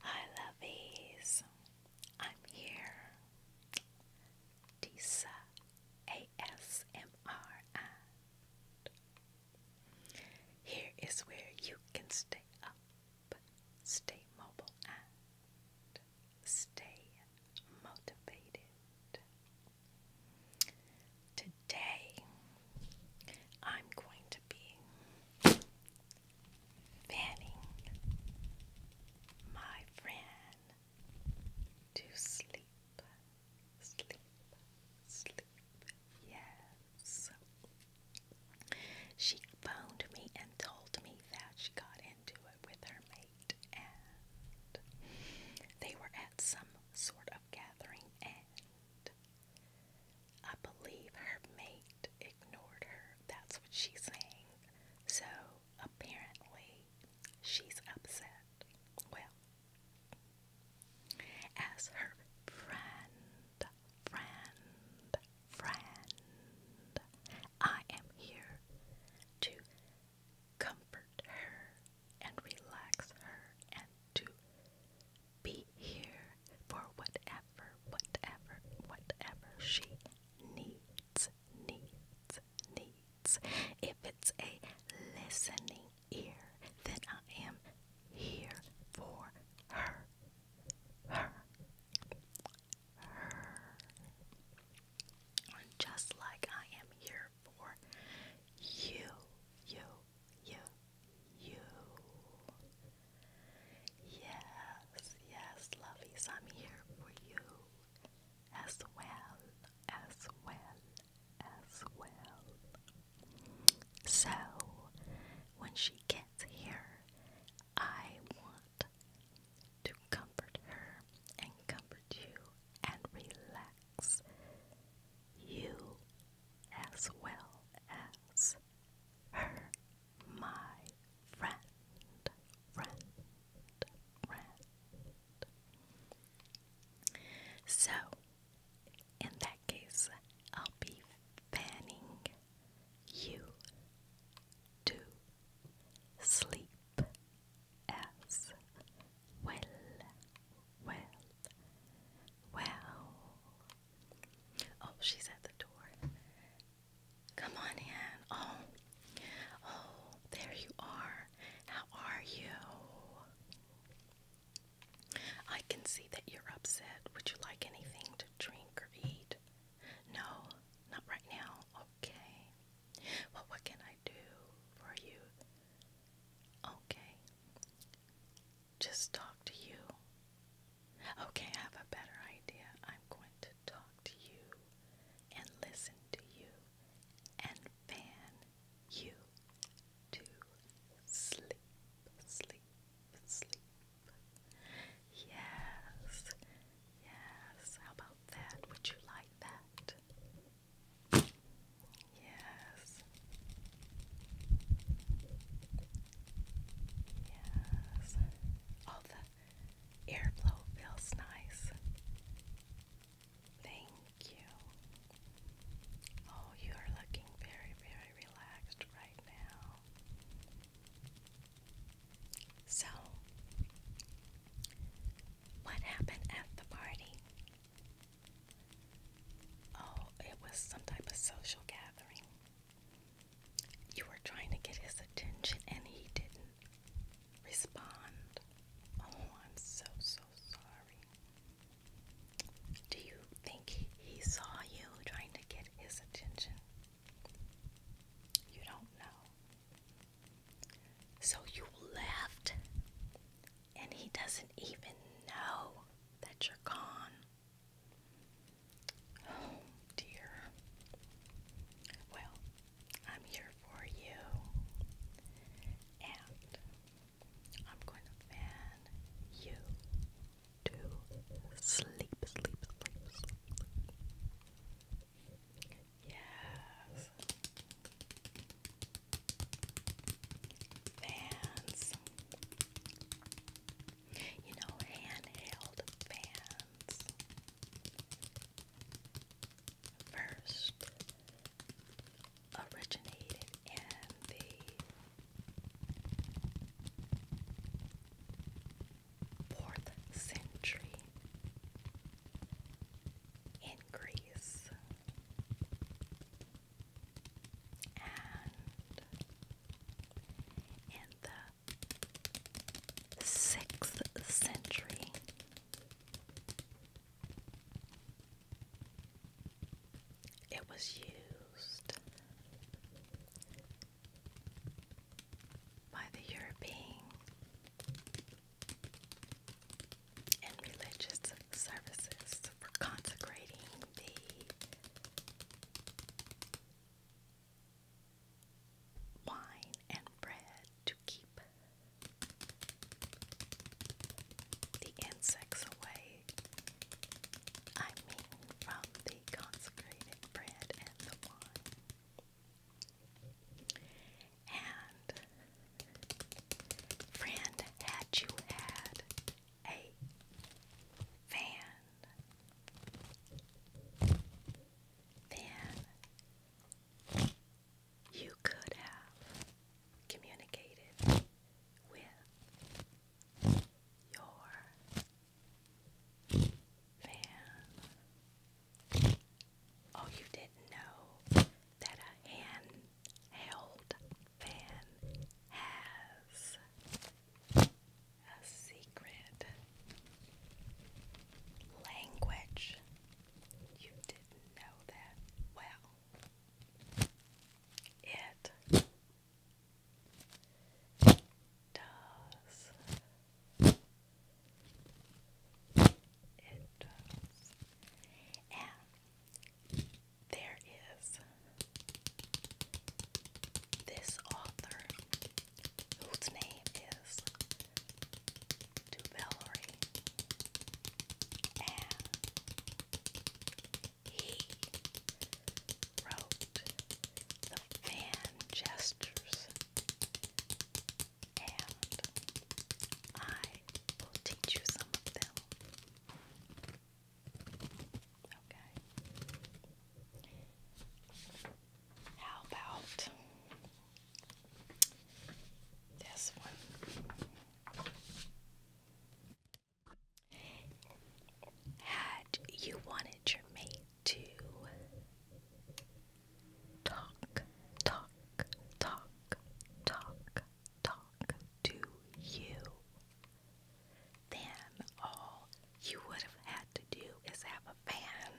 Hi, lovies. I'm here. Disa here is where you can stay up, stay mobile, and stay motivated. Today, I'm going to be fanning my friend to sleep, sleep, sleep. Yes. She phoned me and told me that she got into it with her mate and they were at some sort of gathering, and I believe her mate ignored her. That's what she's saying. So apparently, she's upset. Well, as her friend, friend, friend, I am here to comfort her and relax her and to be here for whatever, whatever, whatever she needs, needs, needs. If it's a listening ear, then I am here for her. Her. Her. Just like I am here for you, you, you, you. Yes, yes, lovies, I'm here for you as well, as well, as well. So, when she gets here, I want to comfort her and comfort you and relax you as well as her, my friend, friend, friend. So, in that case, I'll be fanning you to sleep as well. Well, well. Oh, she's at the door. Come on in. Oh, oh, there you are. How are you? I can see that you're upset. Would you like anything to drink or eat? No, not right now. Okay. Well, what can I do for you? Okay. Just talk to you. Okay, I have a better idea. I'm going to talk to you and listen to you and fan you to sleep, sleep, sleep. Yes, yes. How about that? Would you like that? Yes. Yes. All the air feels nice. Thank you. Oh, you are looking very, very relaxed right now. So, what happened at the party? Oh, it was some type of social gathering. You were trying to get his attention and he didn't respond. Oh, I'm so, so sorry. Do you think he, saw you trying to get his attention? You don't know. So you left, and he doesn't even know that you're gone. Oh dear. Well, I'm here for you, and I'm going to fan you to sleep, sleep, sleep, Yes. Fans. You know, handheld fans. First originated in the Fourth century increase and in the sixth century it was used by the European and religious services for consecrating the wine and bread to keep the insects away. I mean, from the consecrated bread and the wine. And friend, had you had a fan, then you could have communicated with your fan. Oh, you didn't know that a handheld fan has a secret language. You didn't know that. Well, it does. It does. And there is this author whose name is Du And he wrote the fan gestures and I will teach you some of them. Okay. How about this one? Had you wanted your mate to talk, talk, talk, talk, talk to you, then all you would have had to do is have a fan.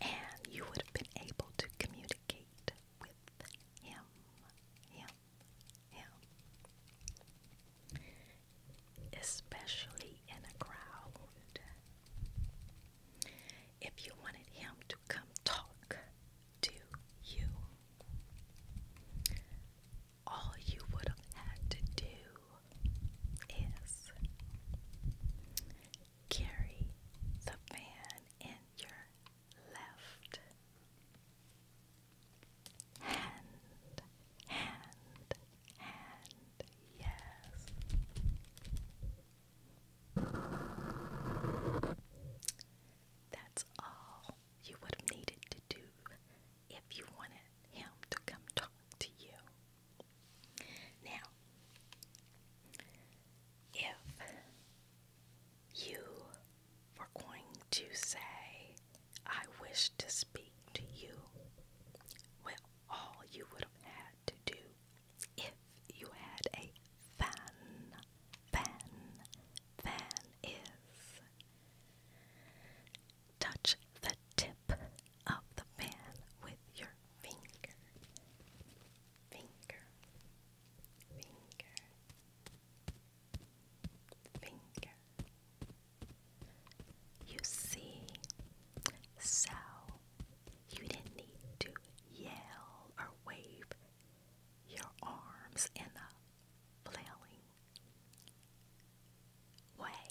And you would have been able to communicate with him, him, especially in a crowd. If you wanted him to come talk to you, all you would have had to do is carry the fan in your left Hand, hand, hand, yes. That's all you would have needed to do if you wanted him to come talk to you. Now, if you we're going to say, I wish to speak to you. Well, all you would have had to do if you had a fan, fan, fan is touch the tip of the fan with your finger, finger, finger finger. You see, so you didn't need to yell or wave your arms in a flailing way.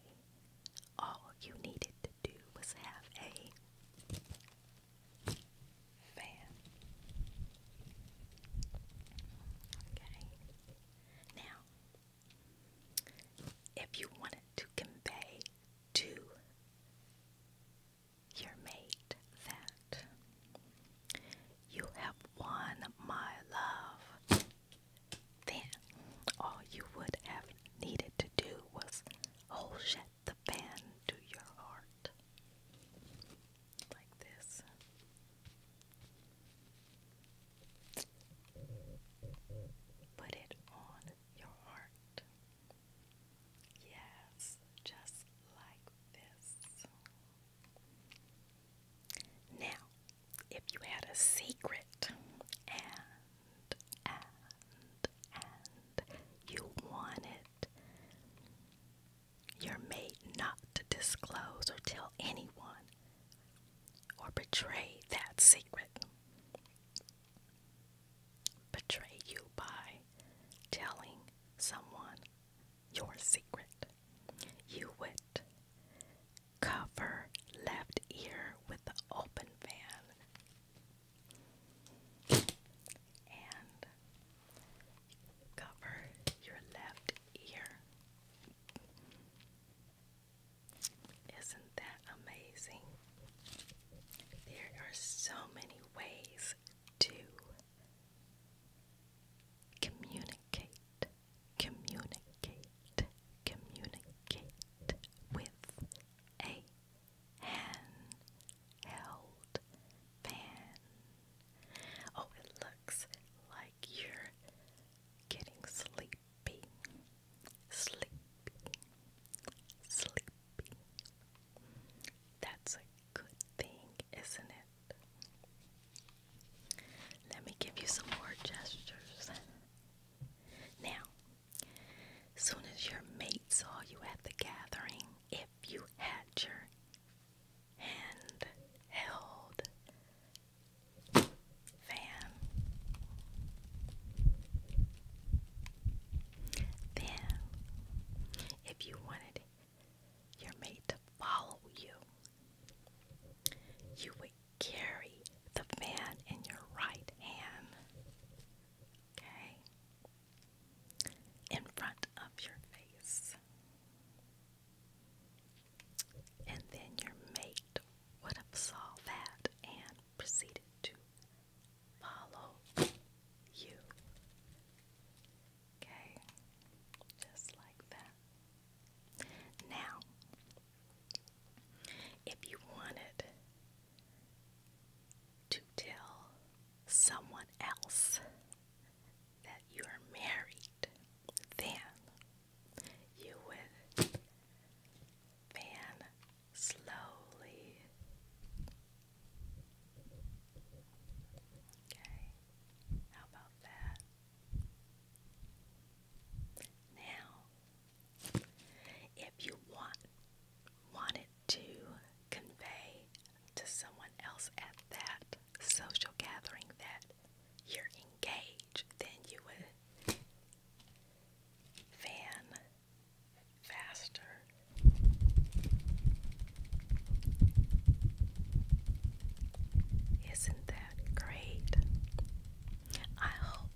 All you needed to do was have a fan. Okay. Now, if you wanted to convey to your mate that you have won my love, then all you would have needed to do was hold shut the fan to your heart like this. Put it on your heart. Yes, just like this. Now, if you had a secret and, and, and you wanted you're made not to disclose or tell anyone or betray that secret. Betray you by telling someone your secret. You would cover left ear with open fan and cover your left ear isn't that amazing? There are so many ways to communicate, communicate, communicate with a hand fan. Oh, it looks like you're getting sleepy, sleepy, sleepy. That's a good thing, isn't it? Let me give you some more gestures. Now, soon as your mate saw you at the gathering, if you had your hand fan. Then, if you wanted your mate to follow you, you would carry the fan in your right hand, okay, in front of your face. And then your mate would have saw that and proceeded to follow you. Okay, just like that. Now, if you wanted to tell someone else that you are married, then you would fan slowly. Okay, how about that? Now, if you want wanted to convey to someone else at that social gathering that you're engaged then you would fan faster. Isn't that great? I hope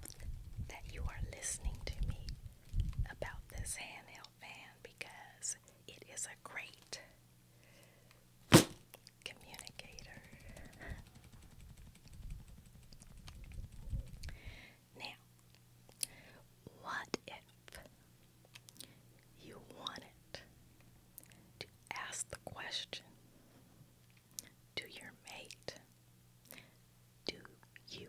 that you are listening to me about this handheld fan because it is a great communicator. now, what if you wanted to ask the question to your mate? Do you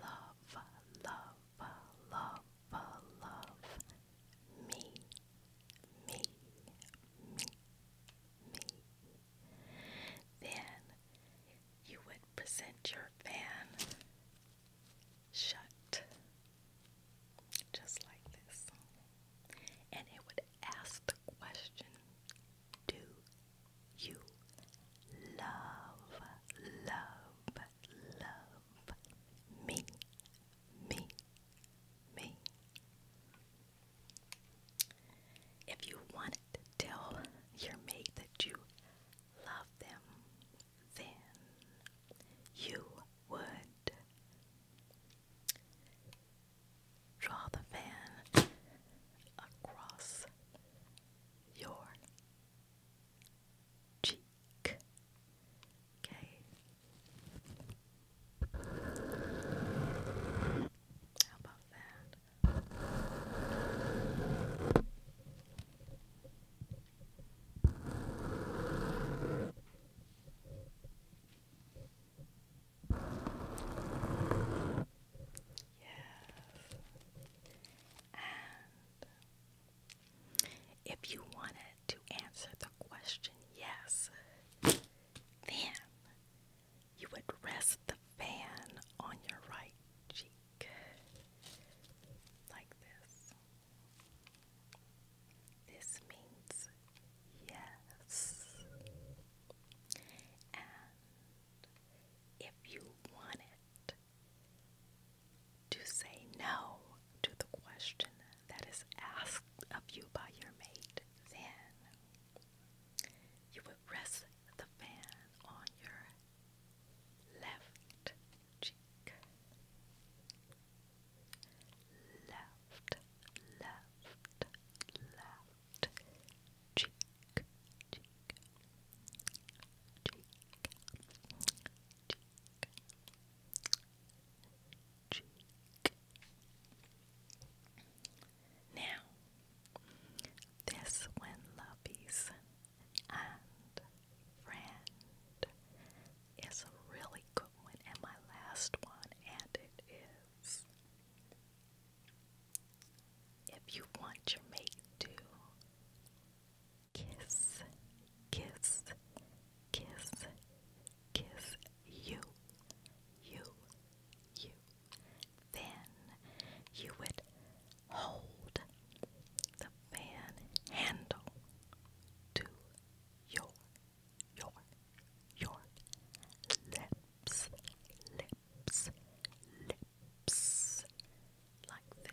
love, love, love, love me? me, me, me. Then you would present your fan shut, just like this, and it would ask the question Do you love, love, love me, me, me. If you want to tell your mate that you love them, then you would draw the fan across your cheek. Okay. about that? Yes. And if you wanted to answer the question yes, then you would rest the fan on your right cheek like this. This means yes. And if you want to say no to the question that is asked of you by your mate, then you would rest the fan on your left cheek. Left, left, left cheek, cheek, cheek, cheek. Now, this when Lovey's and friend is a really good one, and my last one, and it is. If you want your mate to kiss, kiss, kiss, kiss you, you, you. Then you would hold the fan handle to your, your, your lips, lips, lips, like this.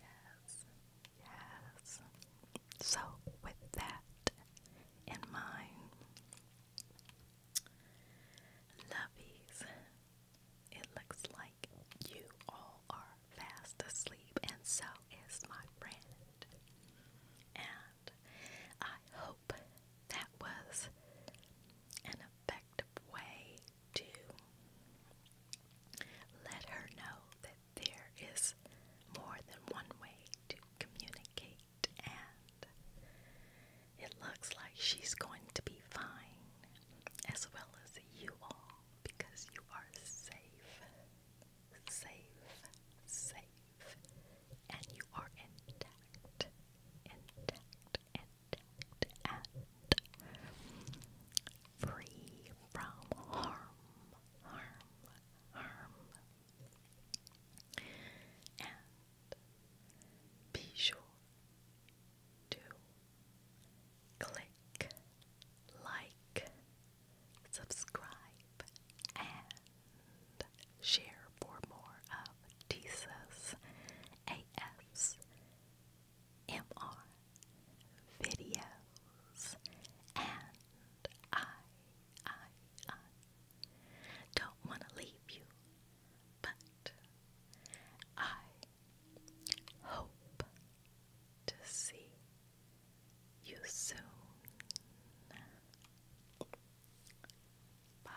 yes, yes. So, with that in mind, lovies, it looks like you all are fast asleep, and so is my friend. And I hope that was an effective way to let her know that there is more than one way to communicate, and it looks like she's going to be fine, as well as you all, because you are safe, safe, safe, and you are intact, intact, intact and free from harm, harm, harm, and be sure to click, like, subscribe, and share for more of Tisa's ASMR videos, and I, I, I don't want to leave you, but I hope to see you soon. Bye.